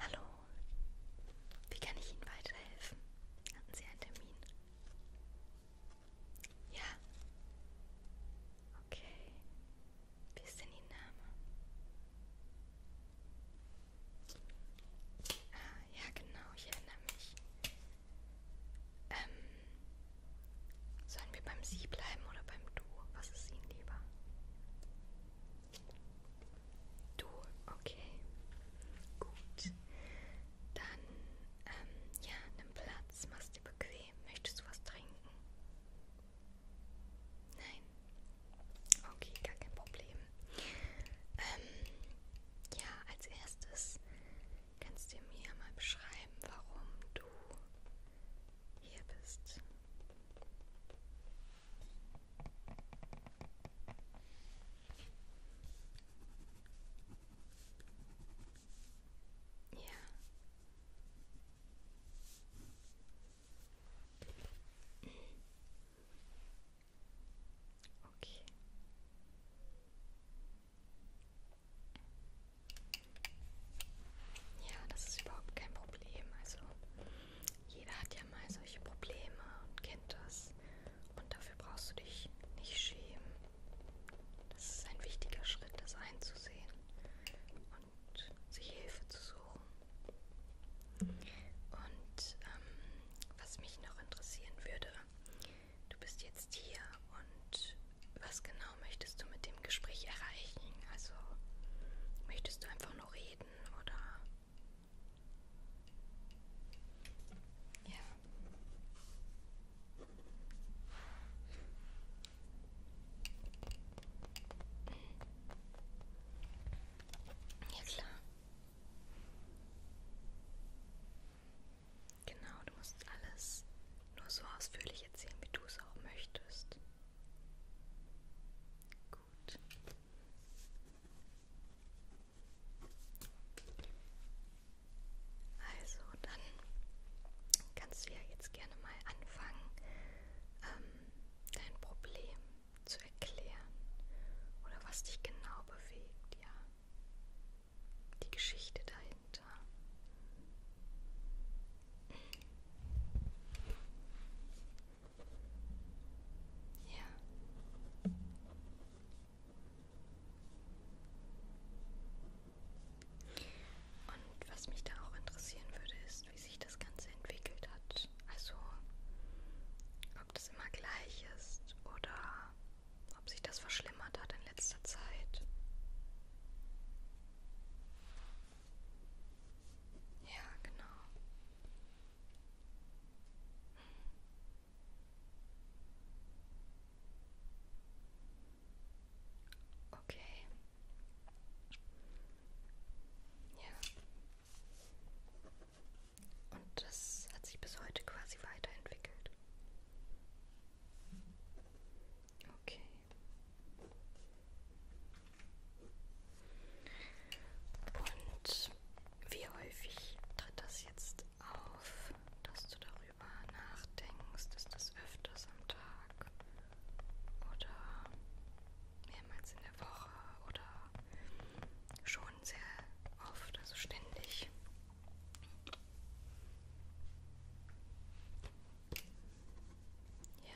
Hallo, wie kann ich Ihnen weiterhelfen? Hatten Sie einen Termin? Ja. Okay. Wie ist denn Ihr Name? Ah, ja genau, ich erinnere mich. Ähm, sollen wir beim Sie bleiben oder beim Du? Was ist Ihnen lieber? Du, okay. Gut. Dann, ähm, ja, nimm Platz, mach's dir bequem. Möchtest du was trinken? Nein. Okay, gar kein Problem. Ähm, ja, als erstes kannst du mir mal beschreiben, warum du hier bist. Ja. Okay. Ja, das ist überhaupt kein Problem. Also jeder hat ja mal solche Probleme und kennt das. Und dafür brauchst du dich nicht schämen. Das ist ein wichtiger Schritt, das einzusehen und sich Hilfe zu suchen. Und ähm, was mich noch interessieren würde, Du bist jetzt hier und was genau möchtest du mit dem Gespräch erreichen? Also möchtest du einfach nur reden oder... Ja. Ja klar. Genau, du musst alles nur so ausführlich erzählen, wie du es auch möchtest. Gut. Also, dann kannst du ja jetzt gerne mal anfangen, ähm, dein Problem zu erklären oder was dich genau bewegt, ja die Geschichte dahinter. Ja. Und was mich da auch interessieren würde, ist, wie sich das Ganze entwickelt hat. Also, ob das immer gleich ist oder ob sich das verschlimmert hat in letzter Zeit. Ja, genau. Hm. Okay. Ja. Und das hat sich bis heute quasi weiterentwickelt. Okay. Und wie häufig tritt das jetzt auf, dass du darüber nachdenkst? Ist das öfters am Tag oder mehrmals in der Woche oder schon schon sehr oft, also ständig. Ja.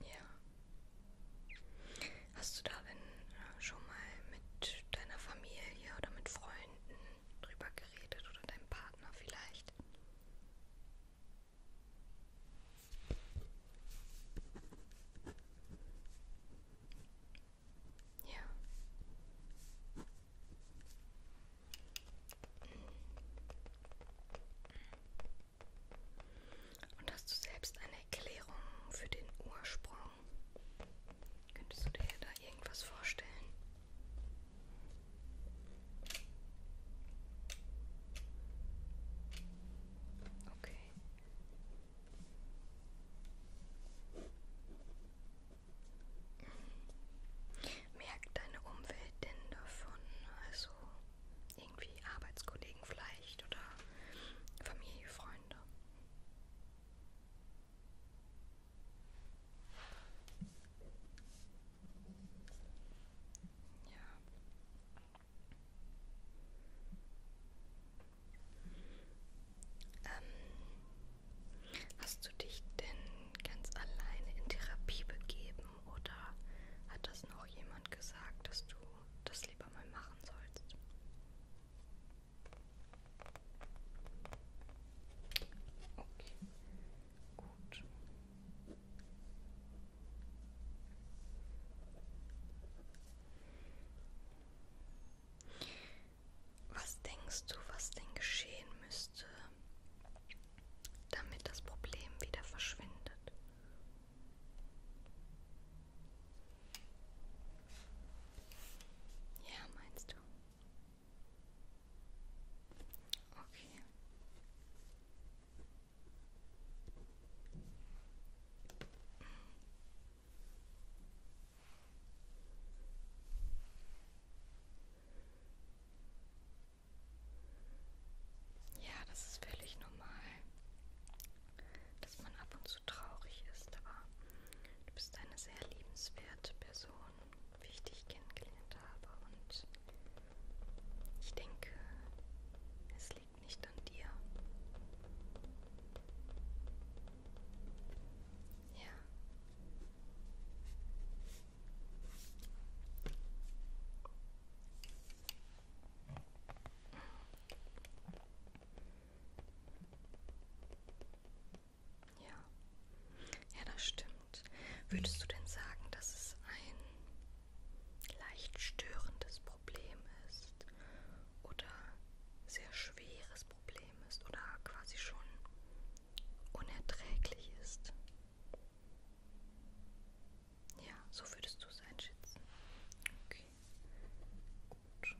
Ja. Hast du darin äh, schon mal mit deiner Familie oder mit Freunden Freunden drüber geredet oder deinem Partner vielleicht? Ja. Und hast du selbst eine Erklärung für den Ursprung Könntest du dir da irgendwas vorstellen? Okay. Merkt deine Umwelt denn davon? Also irgendwie Arbeitskollegen vielleicht oder Familie, Freunde? Ja. Ähm, hast du dich denn ganz alleine in Therapie begeben oder hat das noch jemand gesagt, dass du das lieber mal machen sollst? Okay, gut. Was denkst du, was denn geschehen müsste, damit das Problem wieder verschwindet? Ja, meinst du? Okay. Ja, das ist völlig normal, dass man ab und zu traurig ist, aber du bist eine sehr liebenswerte Person wie ich dich kennengelernt habe. Und ich denke, es liegt nicht an dir. Ja. Ja. Ja, das stimmt. Würdest du denn sagen, dass es ein leicht störendes Problem ist? Oder sehr schweres Problem ist? Oder quasi schon unerträglich ist? Ja, so würdest du es einschätzen. Okay. Gut.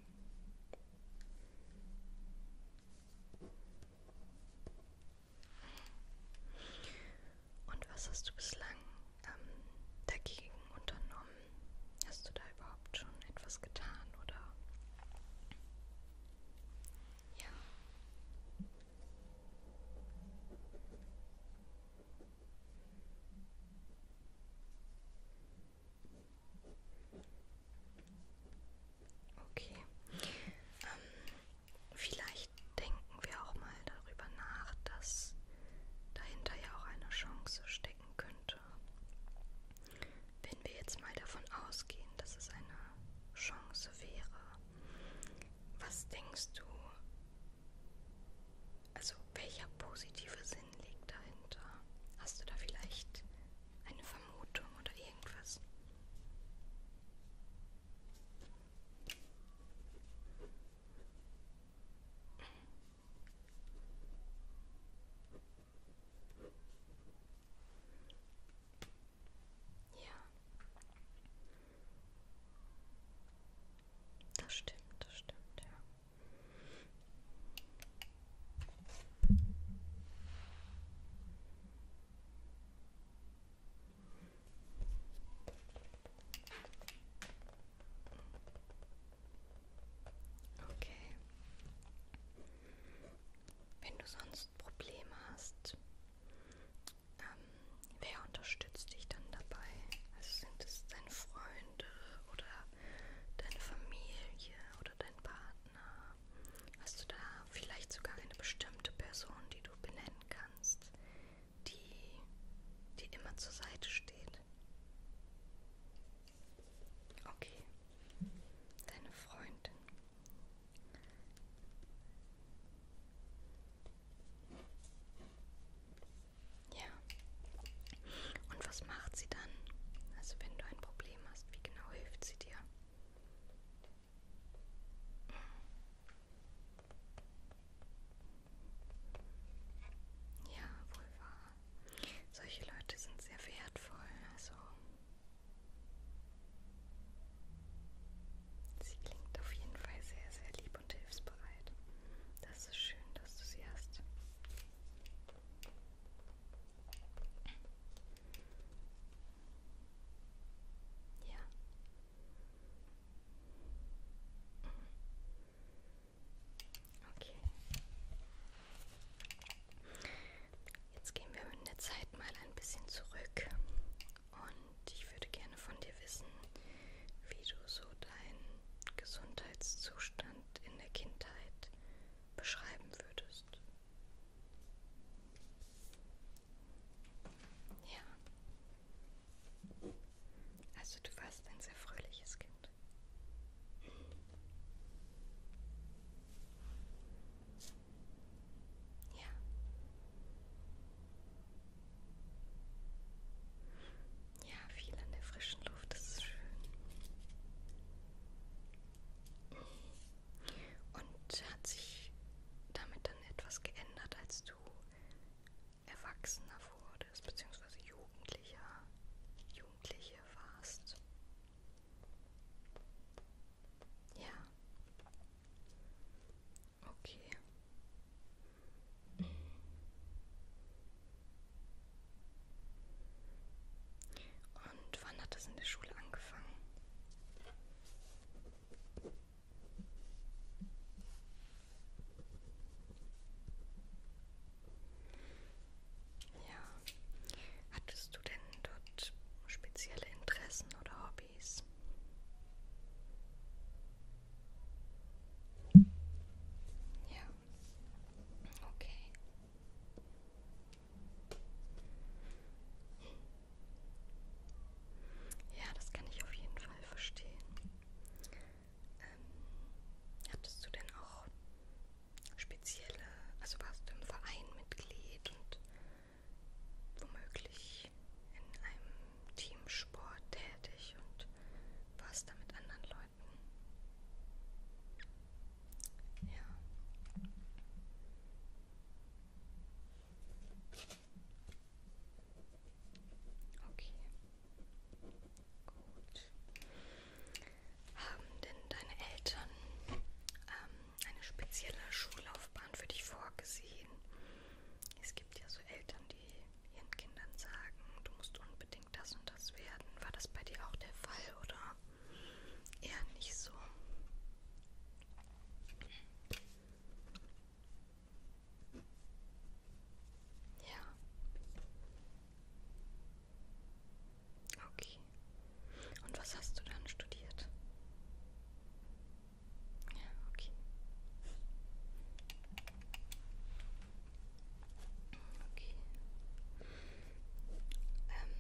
Und was hast du bislang ähm, dagegen unternommen? Hast du da überhaupt schon etwas getan oder? Ja. Okay. Ähm, vielleicht denken wir auch mal darüber nach, dass dahinter ja auch eine Chance stecken könnte. Wenn wir jetzt mal davon ausgehen, dass es eine Chance wäre, was denkst du? Also welcher positive Sinn liegt dahinter? Hast du da vielleicht eine Vermutung oder irgendwas? Ja. Das stimmt, das stimmt, ja. Okay. Wenn du sonst Probleme hast, ähm, wer unterstützt dich dann dabei? Also sind es deine Freunde oder deine Familie oder dein Partner? Hast du da vielleicht sogar eine bestimmte Person, die du benennen kannst, die dir immer zur Seite steht? Okay, deine Freundin. Ja. Und was macht sie dann? Also wenn du ein Problem hast, wie genau hilft sie dir? Ja, wohl wahr. Solche Leute sind sehr wertvoll, also sie klingt auf jeden Fall sehr, sehr lieb und hilfsbereit. Das ist schön, dass du sie hast. Ja. Okay. Jetzt gehen wir in der Zeit mal ein bisschen zurück und ich würde gerne von dir wissen, wie du so deinen Gesundheitszustand in der Kindheit beschreiben würdest. Ja. Also du warst ein sehr fröhliches Kind. Ja. Ja, viel an der frischen Luft, das ist schön. Und hat sich damit dann etwas geändert, als du erwachsener wurdest, beziehungsweise Jugendlicher, Jugendliche warst? Ja. Okay. Und wann hat das in der Schule angefangen? Ja. Hattest du denn dort spezielle Interessen oder Hobbys? Ja. Okay. Ja, das kann ich auf jeden Fall verstehen. Ähm, hattest du denn auch spezielle, also warst du im Verein Mitglied und womöglich in einem Teamsport tätig und warst da mit anderen Leuten? Ja. Okay. Gut. Haben denn deine Eltern ähm, eine spezielle Schullaufbahn für dich vorgesehen? Es gibt ja so Eltern, die ihren Kindern sagen, du musst unbedingt das und das werden. War das bei dir auch der Fall oder eher nicht so? Ja. Okay. Und was hast du dann studiert? Ja, okay. Okay. Ähm,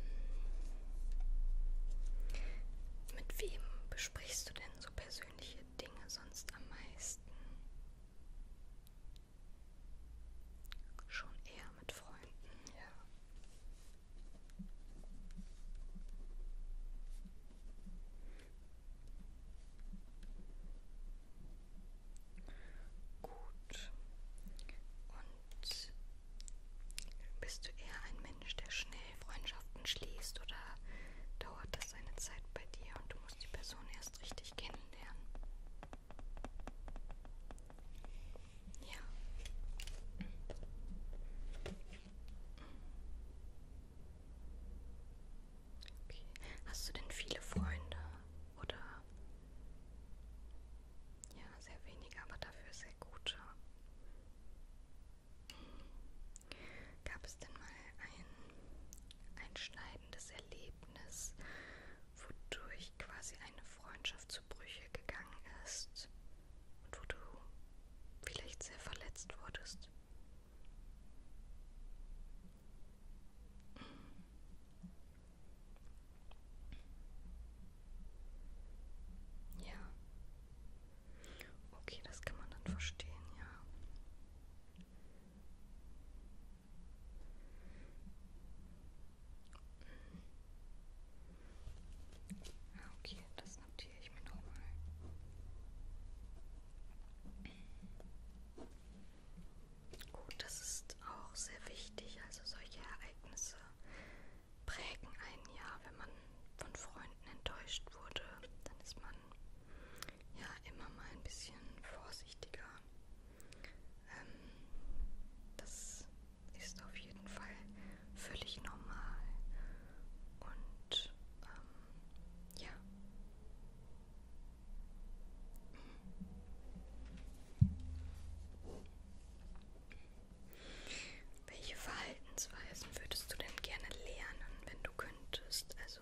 mit wem besprichst du denn so persönliche Dinge sonst am meisten? Schon eher mit Freunden, ja. Gut. Und bist du eher ein Mensch, der schnell Freundschaften schließt oder dauert das seine Zeit bei dir und du musst die Person erst richtig kennenlernen? Ja. Okay. Hast du denn viele Freunde oder? Ja, sehr wenige, aber dafür sehr gute. Gab es denn mal ein einschneidendes Erlebnis, wodurch quasi eine Freundschaft zu Brüche gegangen ist und wo du vielleicht sehr verletzt wurdest? Ja. Okay, das kann man dann verstehen, ja. Ah, okay, das notiere ich mir nochmal. Gut, das ist auch sehr wichtig. Also solche Ereignisse prägen ein Jahr, wenn man von Freunden enttäuscht wurde, dann ist man ja immer mal ein bisschen vorsichtiger. Ähm, das ist auf jeden Fall völlig normal und ähm, ja. Welche Verhaltensweisen würdest du denn gerne lernen, wenn du könntest? Also,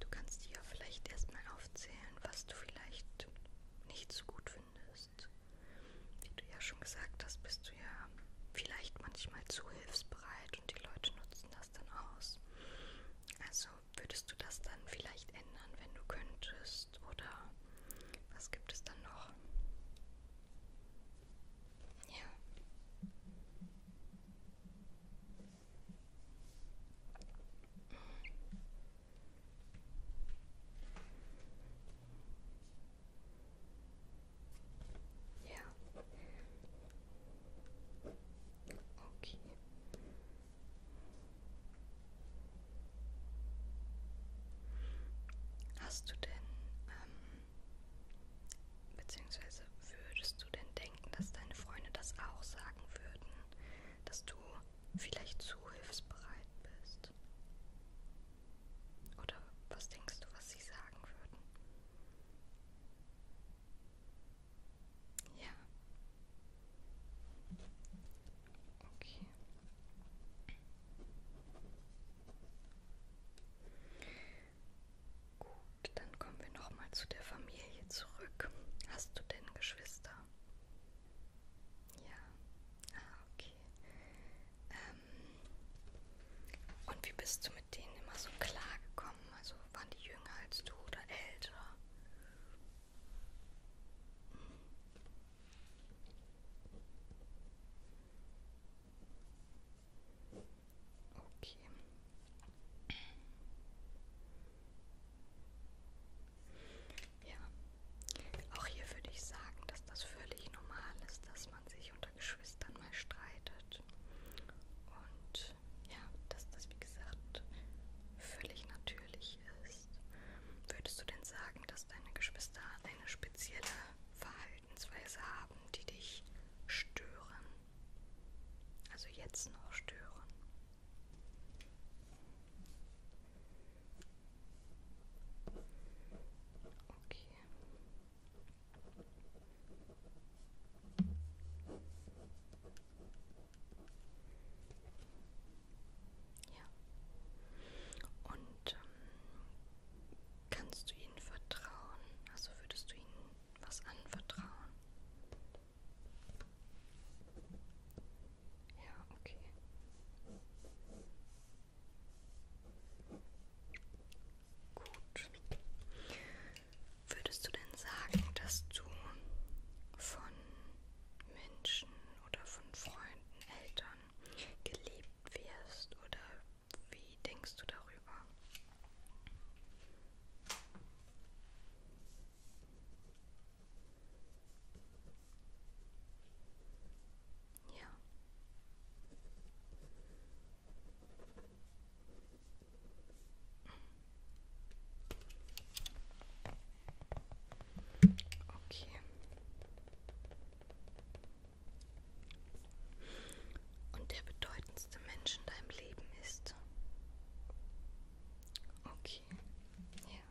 du kannst ja vielleicht erstmal aufzählen, was du vielleicht nicht so gut findest. Wie du ja schon gesagt hast, bist du ja vielleicht manchmal zu hilfsbereit und die Leute nutzen das dann aus. Also würdest du das dann vielleicht ändern, wenn du könntest? Oder was gibt es dann noch? Ja. Ja. Okay. Hast du denn ähm, Beziehungsweise würdest du denn denken, dass deine Freunde das auch sagen würden, dass du vielleicht zu hilfsbereit bist? Oder was denkst du, was sie sagen würden? Ja. Okay. Gut, dann kommen wir nochmal zu der Familie zurück. Hast du denn Geschwister? Ja. Ah, okay. Ähm, und wie bist du mit denen immer so klar gekommen? Also waren die jünger als du oder älter? Okay. Ja, auch hier würde ich sagen, dass das völlig normal ist, dass man sich unter Geschwistern mal streitet. Und ja, dass das, wie gesagt, völlig natürlich ist. Würdest du denn sagen, dass deine Geschwister eine spezielle Verhaltensweise Verhaltensweise haben, die dich stören. Also jetzt noch stören. Okay. Ja. Und ähm, Kannst du ihnen vertrauen? Also würdest du ihnen was anvertrauen? Ja, okay. Gut. Würdest du denn sagen, dass du von Menschen oder von Freunden, Eltern geliebt wirst oder wie denkst du darüber? Ja. Okay und der bedeutendste Mensch in deinem Leben ist. Okay. Ja.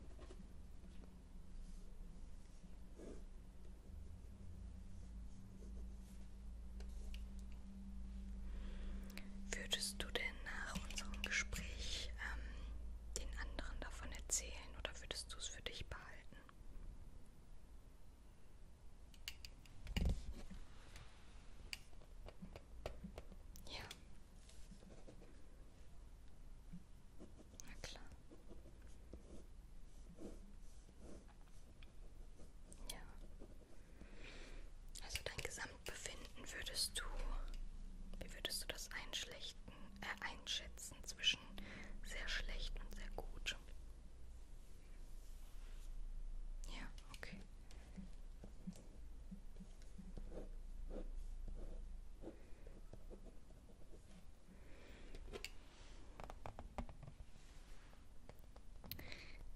Würdest du denn nach unserem Gespräch ähm, den anderen davon erzählen oder würdest du es für dich behalten? Ja. Na klar. Ja. Also dein Gesamtbefinden würdest du, wie würdest du das einschlechten, äh, einschätzen zwischen sehr schlecht und sehr gut? Ja, okay.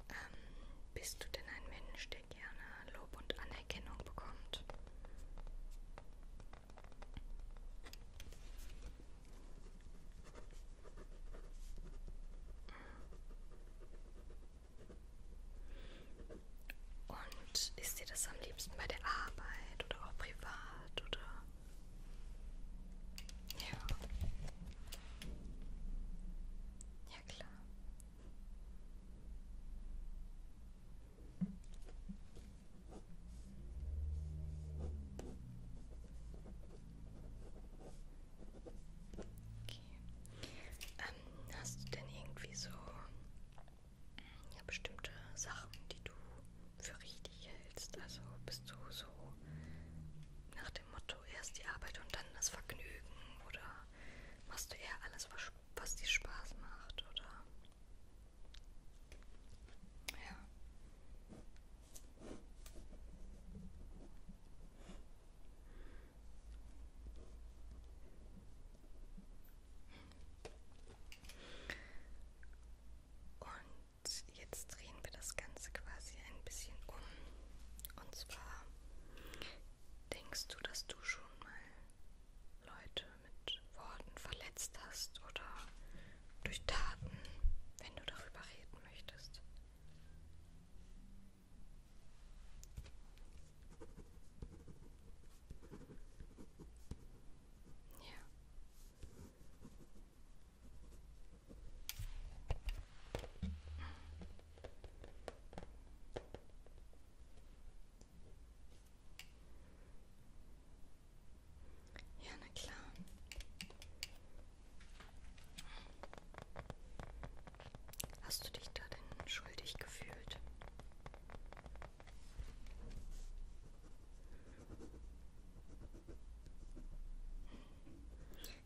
Ähm, bist du denn ein Mensch, der gerne Lob und Anerkennung bekommt? Und ist dir das am liebsten bei der Arbeit oder auch privat oder? Ja. Ja klar. Okay. Ähm, hast du denn irgendwie so ja, bestimmte Sachen, die du für richtig hältst? Also bist du so nach dem Motto erst die Arbeit und dann das Vergnügen? Oder machst du eher alles, was, was dir Spaß macht? Oder? Ja. Und jetzt drehen wir das Ganze quasi ein bisschen um. Und zwar denkst du, dass du schon mal Leute mit Worten verletzt hast oder durch Taten, wenn du darüber reden möchtest. Ja. Ja, na klar. Hast du dich da denn schuldig gefühlt?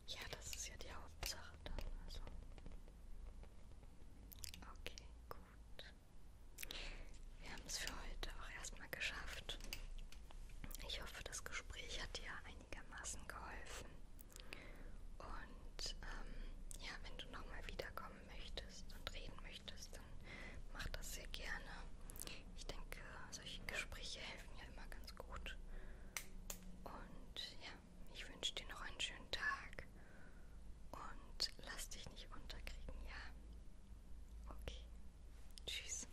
Ja, das ist ja die Hauptsache dann. Also. Okay, gut. Wir haben es für heute auch erstmal geschafft. Ich hoffe, das Gespräch hat dir einigermaßen geholfen. Und ähm, ja, wenn du nochmal wiederkommen möchtest und reden möchtest, dann mach das sehr gerne. Ich denke, solche Gespräche helfen ja immer ganz gut. Und ja, ich wünsche dir noch einen schönen Tag und lass dich nicht unterkriegen, ja? Okay. Tschüss.